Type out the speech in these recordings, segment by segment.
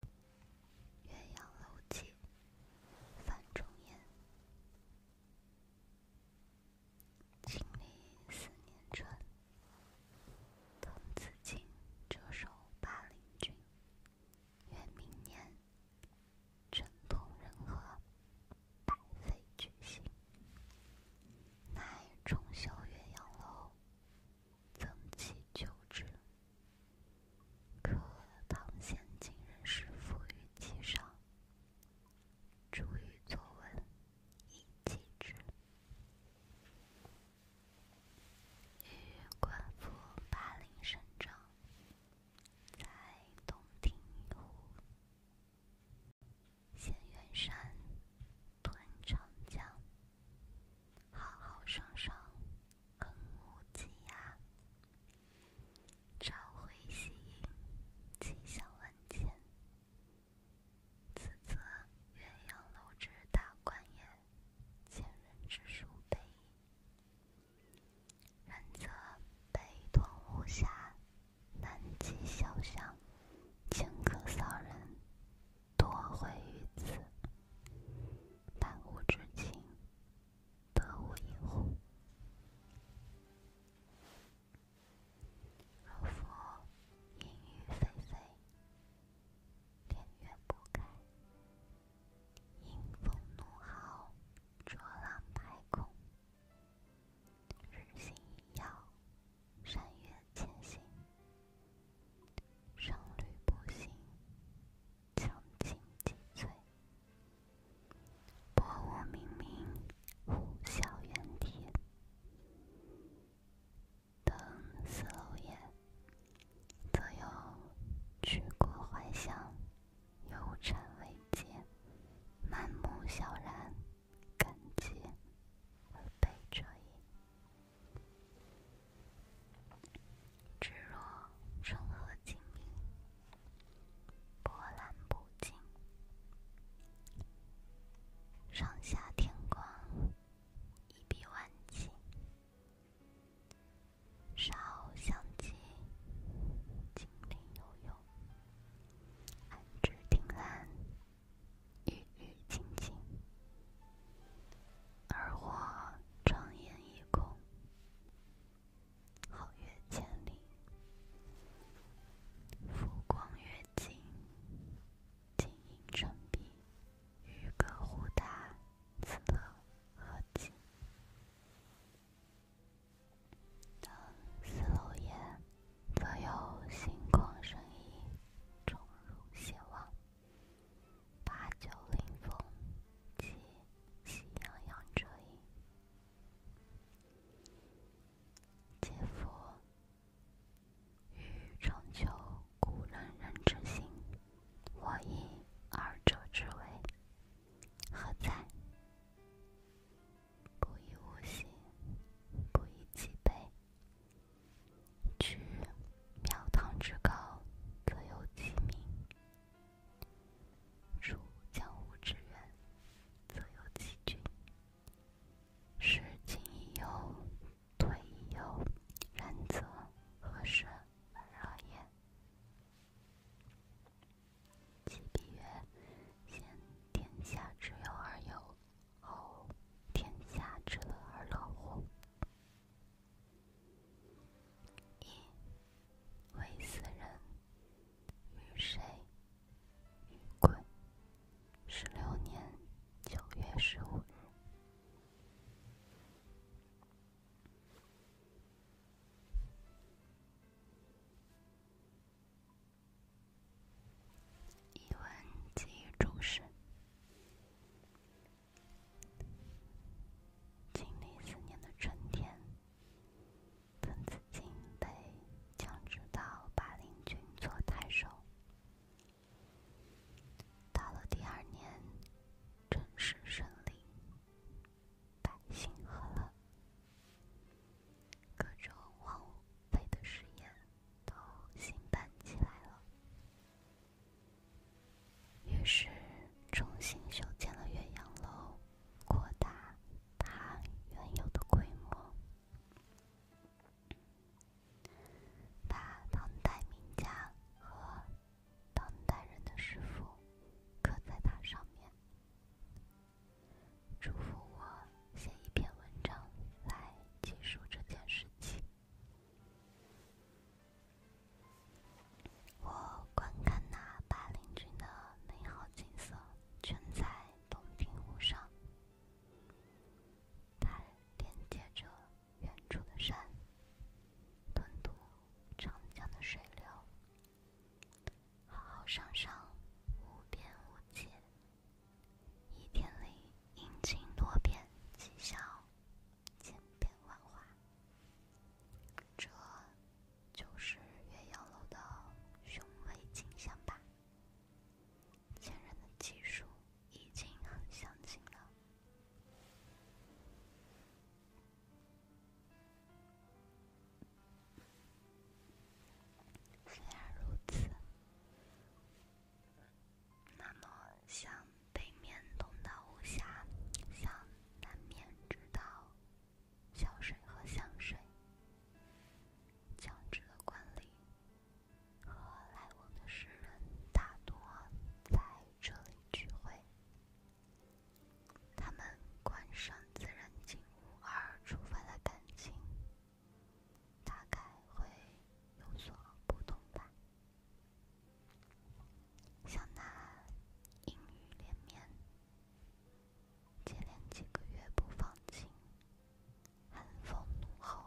《岳阳楼记》范仲淹。经历四年春，滕子京谪守巴陵郡。越明年，政通人和，百废具兴。乃重修岳阳楼，增其旧制。可唐贤今人诗赋于其上，卒于作文，以记之。予观夫巴陵胜状，在洞庭湖。衔远山，吞长江。浩浩汤汤，横无际涯；朝晖夕阴，气象万千。此则岳阳楼之大观也。前人之述备矣。然则北通巫峡，南极潇湘，迁客骚人。多会于此，贪污之情，得无一乎？若夫淫雨霏霏，连月不改，阴风怒号，浊浪排空，日星隐曜。山岳潜行，商旅不行，层青积翠，薄雾冥冥，虎啸猿啼。登四楼也，则有去国怀乡，忧谗畏讥，满目萧然。感基而悲者也。至若春和景明，波澜不惊，上下天光，一碧万顷，沙鸥翔集，锦鳞游泳，岸芷汀兰。郁郁青青，而或长烟一空，皓月千里，浮光跃金，静影沉璧，渔歌互答，此乐何极！登斯楼也，则有心旷神怡，宠辱偕忘；八九岭峰及喜洋洋者矣。嗟夫！予尝求古仁人之心，或异二者之为，何哉？不以物喜，不以己悲。居庙堂之高，则有其民；处江湖之远，则有其君。是进亦忧，退亦忧。然则，何舍而也？其必曰：“先天下之忧而忧，后天下之乐而乐乎？”噫！微斯人，与谁与归？十六年九月十五日。译文及注释：经历四年的春天，滕子京被降职到巴陵郡做太守。到了第二年，政事顺利。百姓和乐，各种荒废的事业都兴办起来了。于是重新修建了岳阳楼，扩大它原有的规模，把唐代名家和。当代人的师傅刻在它上面，嘱咐我写一篇文章来记述这件事情。我观看那半岭峻的美好景色，全在洞庭湖上，它连接着远处的山，吞吐长江的水流。好好欣赏，无边无界。一天里阴晴多变，气象千变万化。这就是岳阳楼的雄伟景象吧？前人的记述已经很详尽了。虽然如此，那么向北面通到吴下，向南面直到小水和湘水，江浙的官吏和来往的诗人大多在这里聚会。他们观赏自然景物而触发的感情，大概会有所不同吧。像那阴雨连绵，接连几个月不放晴，寒风怒吼。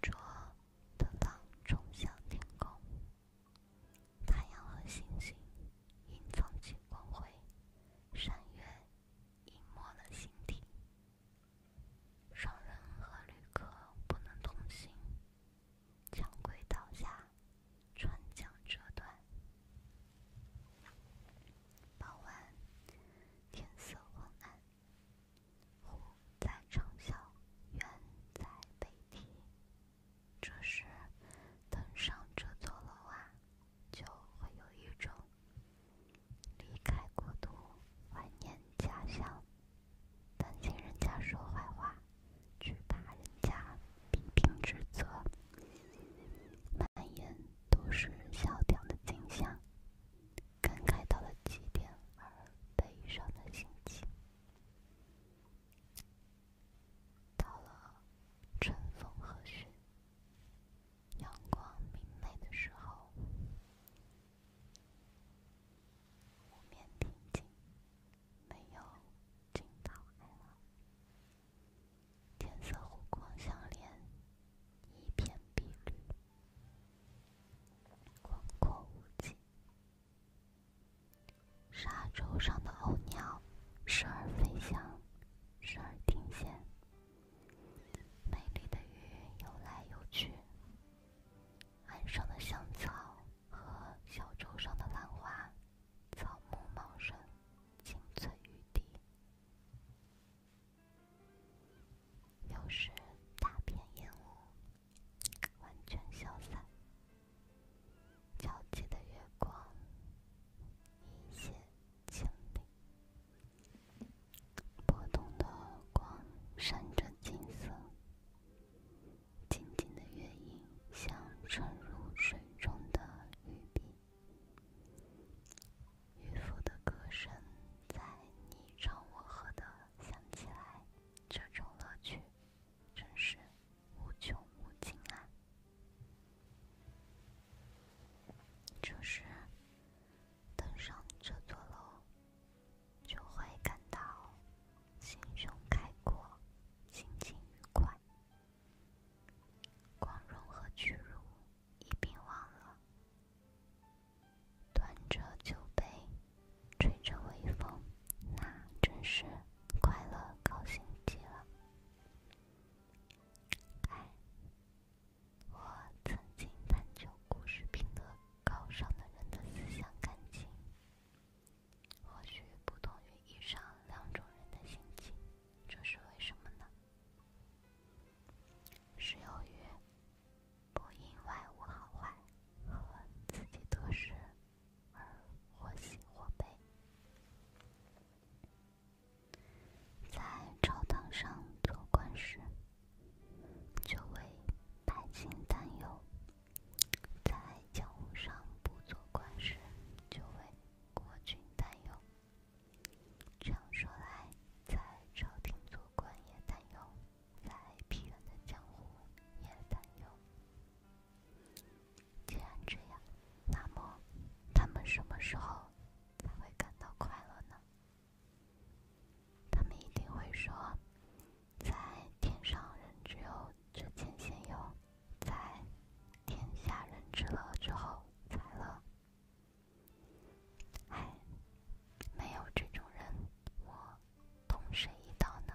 着的灯冲向天空，太阳和星星隐藏起光辉，山岳隐没了形体。商人和旅客不能通行，长轨倒下，川江折断。傍晚，天色昏暗。虎在城下，猿在背梯。这时，登上这座楼啊，就会有一种离开国都、怀念家乡、担心人家说坏话、惧怕人家批评指责、满眼都是萧条的景象。感慨到了极点而悲伤的心情，到了春风和煦、阳光明媚的时候，湖面平静，没有惊涛骇浪，天色湖光相连，一片碧绿。广阔无际，沙洲上的鸥鸟时而飞翔，时而停歇。美丽的鱼游来游去，岸上的香草和小洲上的兰花，草木茂盛，青翠欲滴。又是大片烟雾，完全消散。皎洁的月光，一泻千里。波动的光，闪着金色。静静的月影，像沉入水中的玉璧。渔夫的歌声在你唱我和的响起来，这种乐趣真是无穷无尽啊！就是登上这座楼，就会感到心胸开阔，心情愉快，光荣和屈辱。一并忘了。端着酒杯，吹着微风，那真是快乐高兴极了。哎，我曾经探究故事品德高尚的人的思想感情，或许不同于以上两种人的心情，这是为什么呢？是由于不因外物好坏和自己得失而或喜或悲，在朝堂上做官时就为百姓担忧，在江湖上不做官时就为国君担忧。这样说来，在朝廷做官也担忧，在疲软的江湖也担忧。既然这样，那么他们什么时候才会感到快乐呢？他们一定会说：“在天上，人只有这间仙有。”在天下人知了之后，才乐。哎，没有这种人，我同谁一道呢？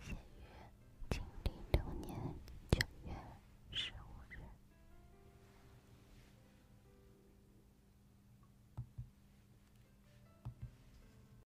写于金零零六年九月十五日。